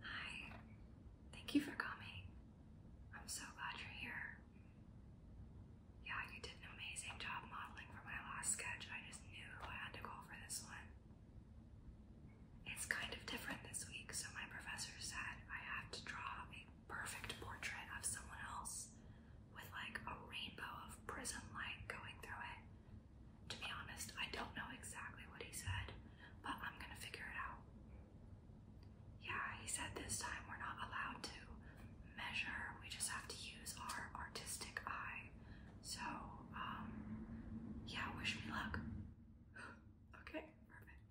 Hi, thank you for coming. I'm so glad you're here. Yeah, you did an amazing job modeling for my last sketch. I just knew I had to go for this one. It's kind of different this week, so my professor said I have to draw a perfect portrait of someone else with like a rainbow of prism light going through it. To be honest, I don't know exactly what he said, but I'm gonna figure it out. Yeah, he said this time we're not allowed to measure, we just have to use our artistic eye. So, um, yeah, wish me luck. okay, perfect.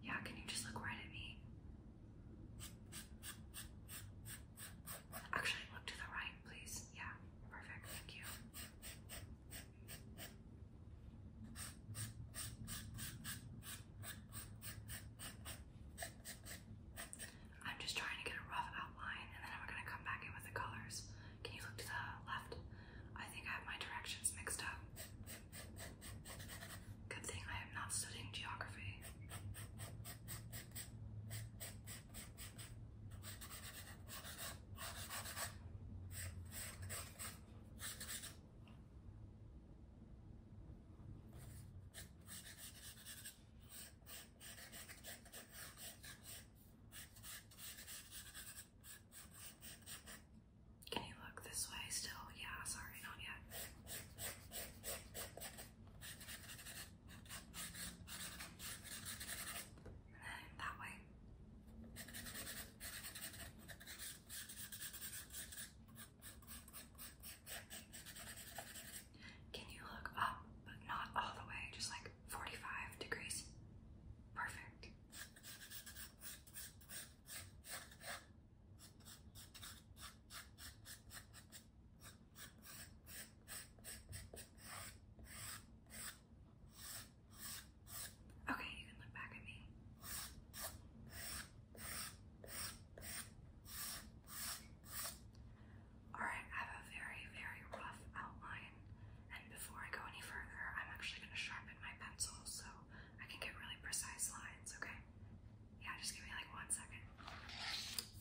Yeah, can you just look right at me? Actually, look to the right, please. Yeah, perfect. Thank you. I'm just trying to get a rough outline and then I'm going to come back in with the colors. Can you look to the left? I think I have my directions mixed up. Good thing I am not studying geography. Can you look this way still? Yeah, sorry, not yet that way. Can you look up, but not all the way, just like 45 degrees? Perfect. Okay, you can look back at me. Alright, I have a very, very rough outline, and before I go any further, I'm actually going to sharpen my pencil so I can get really precise lines, okay? Yeah, just give me like one second.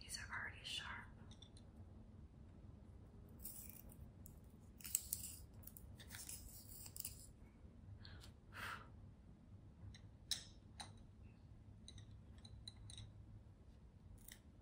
These are already sharp.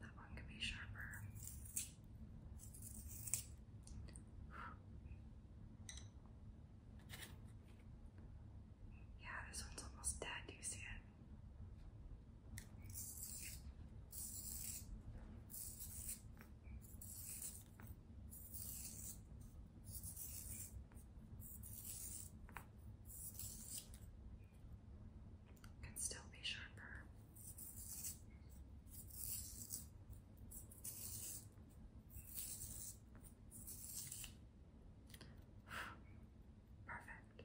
That one can be sharper. Yeah, this one's almost dead. Do you see it? Can still be sharper. Perfect.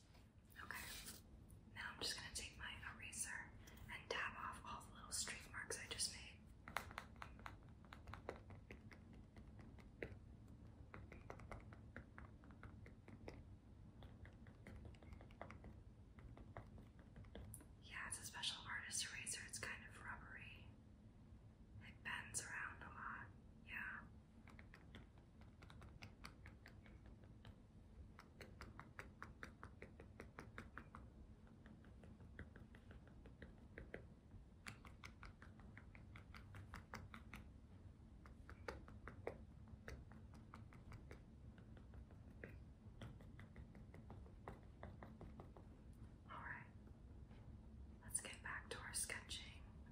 Okay. Now I'm just gonna take my eraser and dab off all the little streak marks I just made. Yeah, it's a special artist eraser. It's kind of rubbery. It bends around a lot. Yeah. All right, let's get back to our sketching.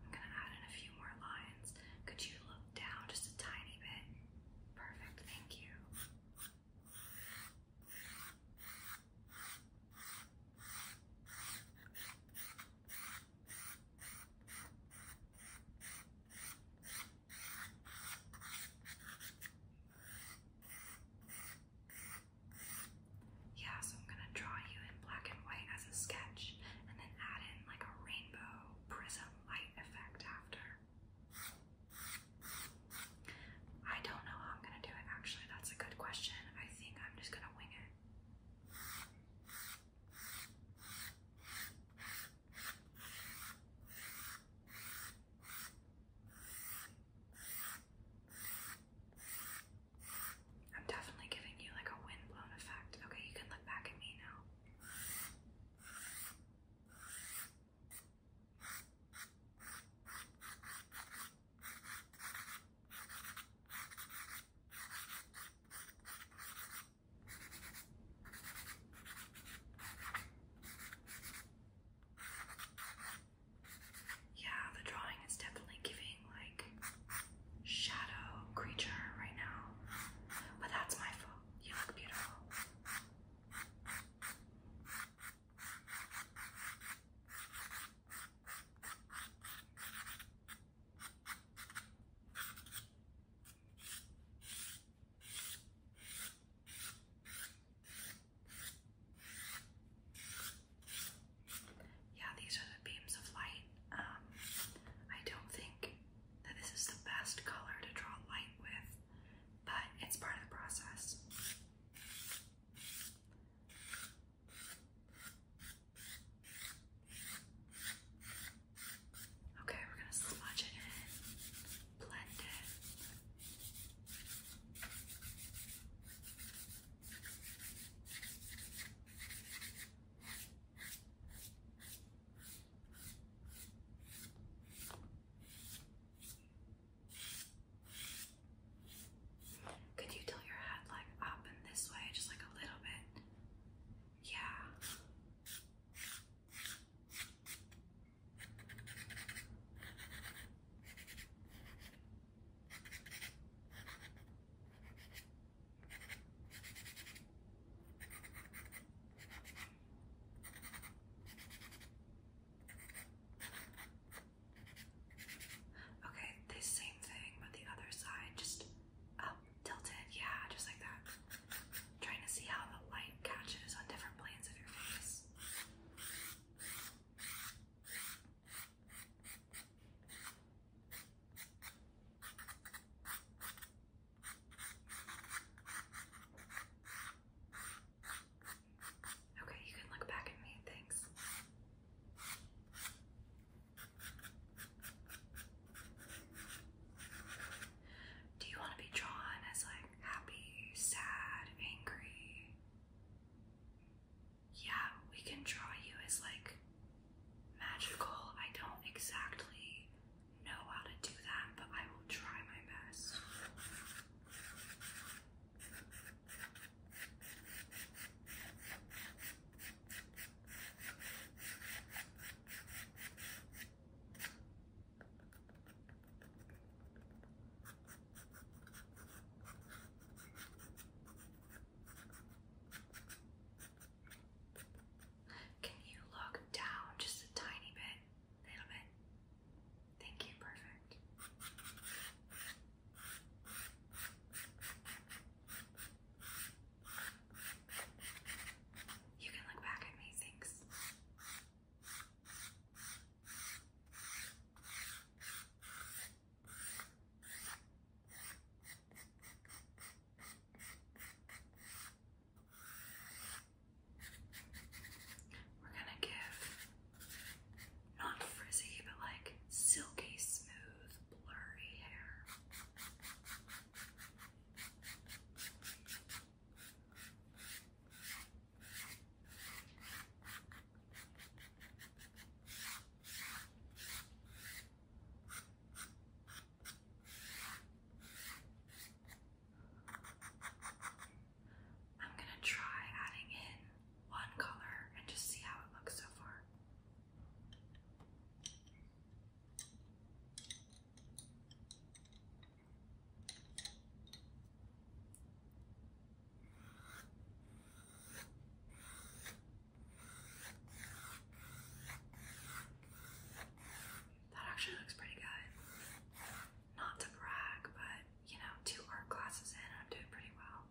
I'm going to add in a few more lines. Could you look down just a tiny bit? Perfect, thank you. Yeah, so I'm gonna draw you in black and white as a sketch and then add in like a rainbow prism light effect after. I don't know how I'm gonna do it actually. That's a good question. I think I'm just gonna wing it. I'm definitely giving you like a windblown effect. Okay, you can look back at me now. Yeah, the drawing is definitely giving like shadow creature right now. But that's my fault. You look beautiful. Yeah, these are the beams of light. Um, I don't think that this is the best color to draw light with, but it's part of the process. Okay, we're going to smudge it in, blend could you tilt your head like up and this way, just like a little bit? Yeah. Okay, the same thing, but the other side, just up, tilted, yeah, just like that. Trying to see how the light catches on different planes of your face. Okay, you can look back at me. Thanks. Do you want to be drawn as like happy, sad, angry? Yeah, we can draw you as like magical. I don't exactly know how to do that, but I will try my best. Can you look down just a tiny bit? A little bit. Thank you, perfect. You can look back at me, thanks. We're gonna give not frizzy, but like silky smooth, blurry hair. I'm gonna try adding in one color and just see how it looks so far. That actually looks pretty good. Not to brag, but you know, two art classes in, I'm doing pretty well.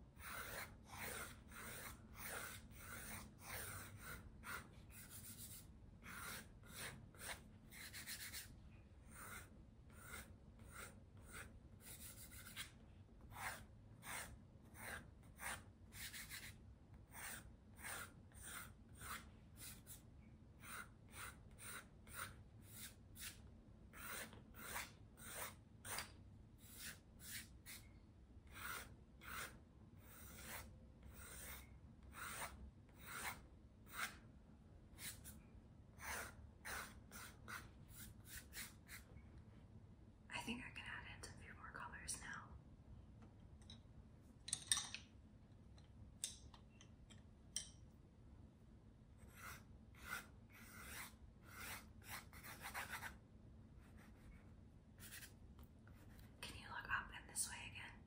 I think I can add in a few more colors now. Can you look up and this way again?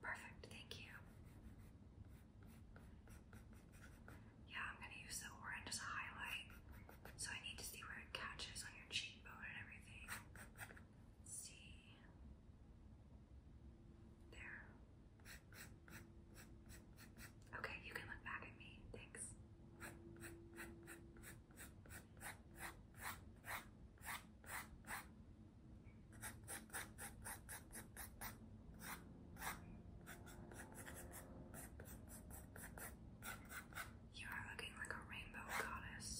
Perfect, thank you. Yeah, I'm gonna use the orange as a highlight, so I need to see where it catches on your cheekbone and everything see. There. Okay, you can look back at me. Thanks. You are looking like a rainbow goddess.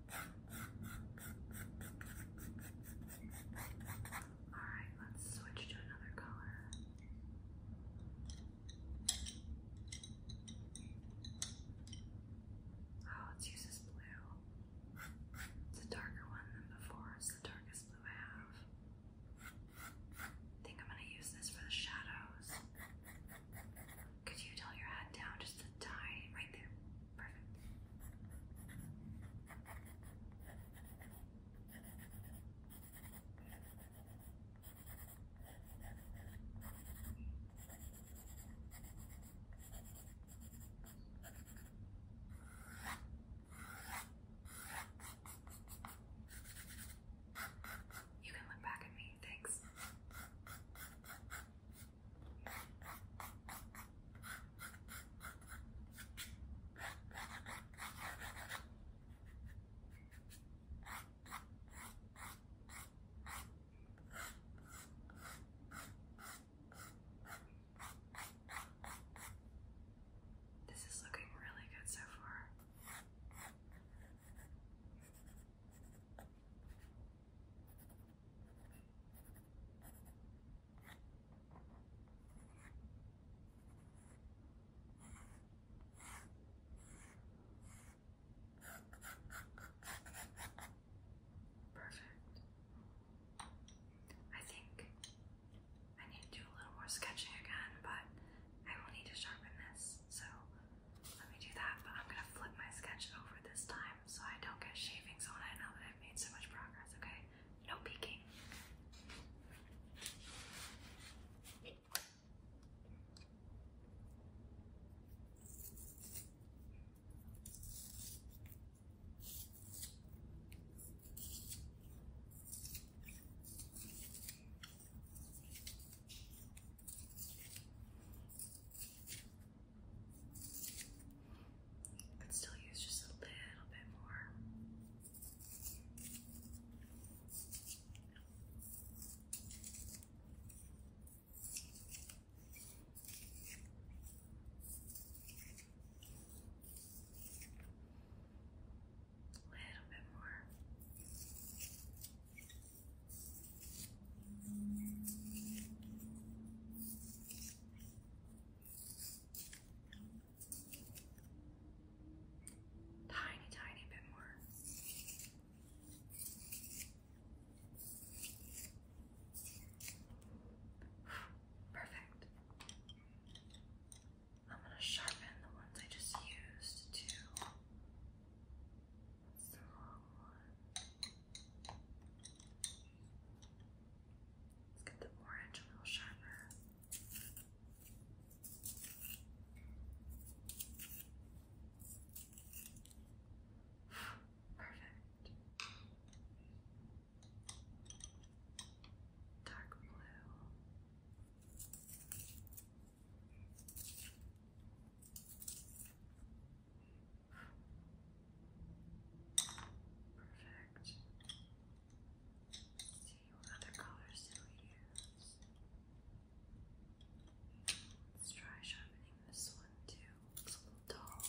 Alright, let's switch to another color. Oh, let's use this blue. It's a darker one than before, it's the darkest blue I have. I think I'm gonna use this for the shadows. Could you tell your head down just a tiny right there? Perfect. You can look back at me, thanks. This is looking really good so far. Perfect. I think I need to do a little more sketching again, but I will need to sharpen this, so let me do that. But I'm gonna flip my sketch over this time so I don't get shavings on it i made so much progress, okay? No peeking. Could still use just a little bit more. A little bit more. Tiny, tiny bit more. Perfect. I'm going to sharpen the ones I just used to. Let's get the orange a little sharper. Perfect. Dark blue. Perfect. see what other colors do we use. Let's try sharpening this one too. Looks a little dull.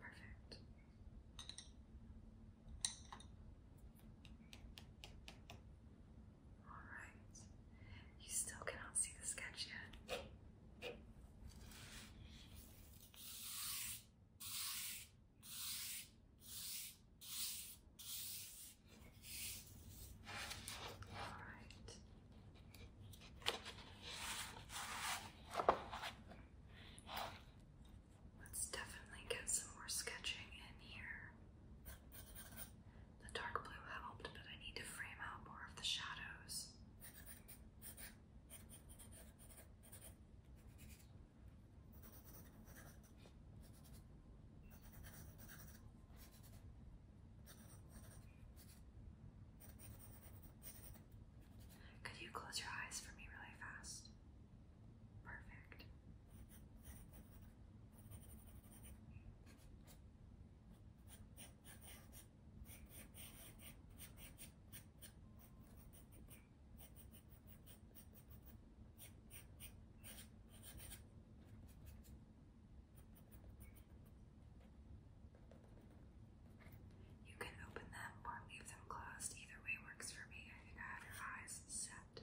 Perfect. Alright. You still cannot see the sketch yet. Alright. Let's definitely get some more sketching in here. The dark blue helped, but I need to frame out more of the shadows. Could you close your eyes for me really fast? Perfect. You can open them or leave them closed. Either way works for me. I think I have your eyes set.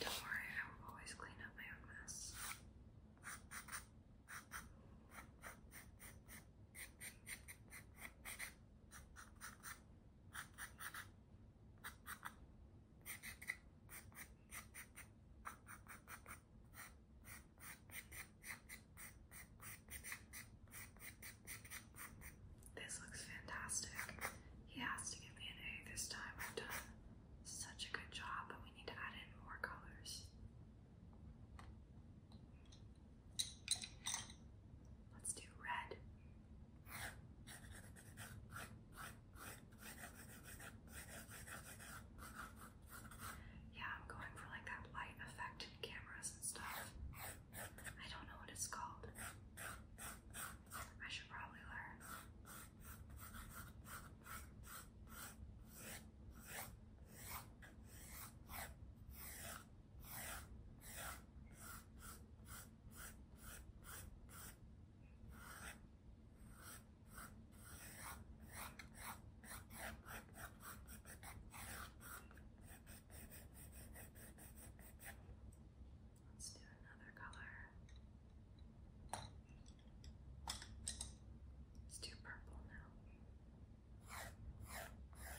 Don't worry, I will always clean up my own mess. This looks fantastic. He has to give me an A this time. i am done such a good job, but we need to add in more colors. Let's do red. Yeah, I'm going for like that light effect in cameras and stuff. I don't know what it's called. I should probably learn. Let's do another color. It's too purple now. I'm going to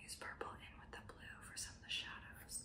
use purple in with the blue for some of the shadows.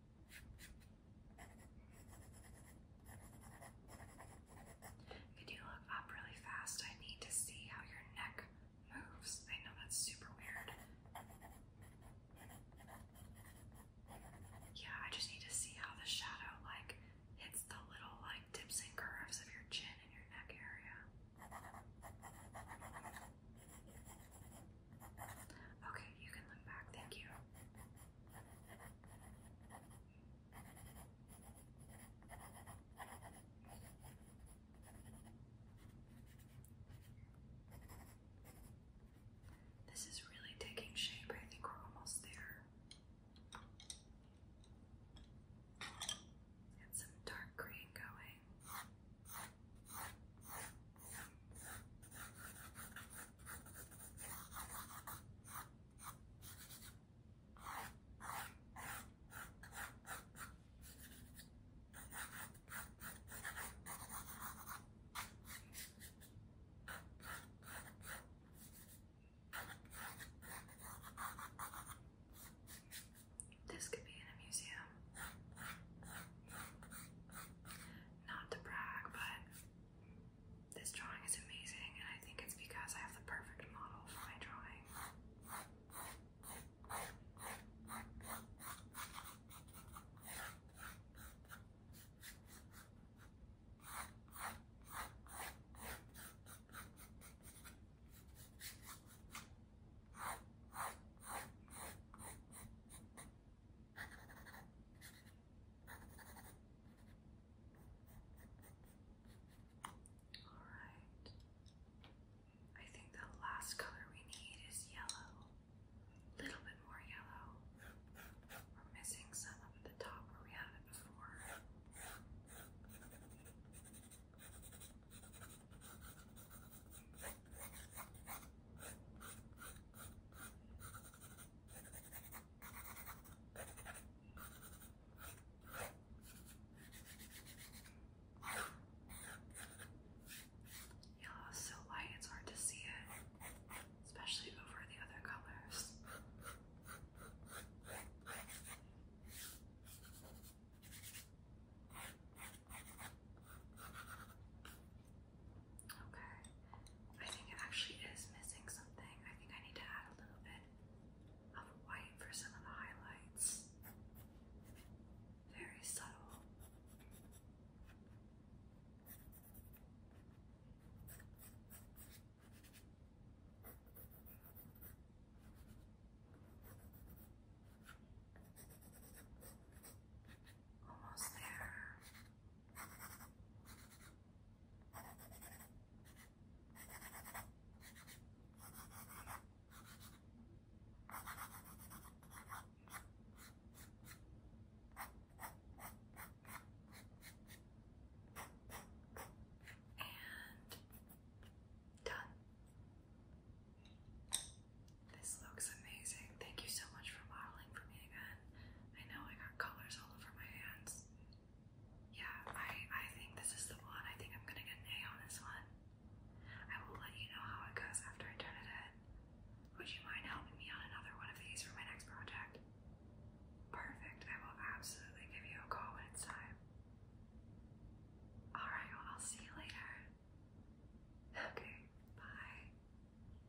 Can you look up really fast? I need to see how your neck moves. I know that's super weird. Yeah, I just need to see how the shadow like hits the little like dips and curves of your chin and your neck area. Okay, you can look back. Thank you. This is really taking shape. I think we're almost there. Get some dark green going. This could be in a museum not to brag, but this drawing is amazing, and I think it's because I have the perfect model for my drawing. Alright. I think the last color we need is yellow. A little bit more yellow. We're missing some up the top where we had it before. Yeah, it's so light it's hard to see it, especially over the other colors. Okay. I think it actually is missing something. I think I need to add a little bit of white for some of the highlights. Very subtle. Almost there. And done. This looks amazing. Thank you so much for modeling for me again. I know I got colors all over my hands. Yeah, I I think this is the one. I think I'm gonna get an A on this one. I will let you know how it goes after I turn it in. Would you mind helping me on another one of these for my next project? Perfect. I will absolutely give you a call when it's time. Alright, well I'll see you later. Okay, bye.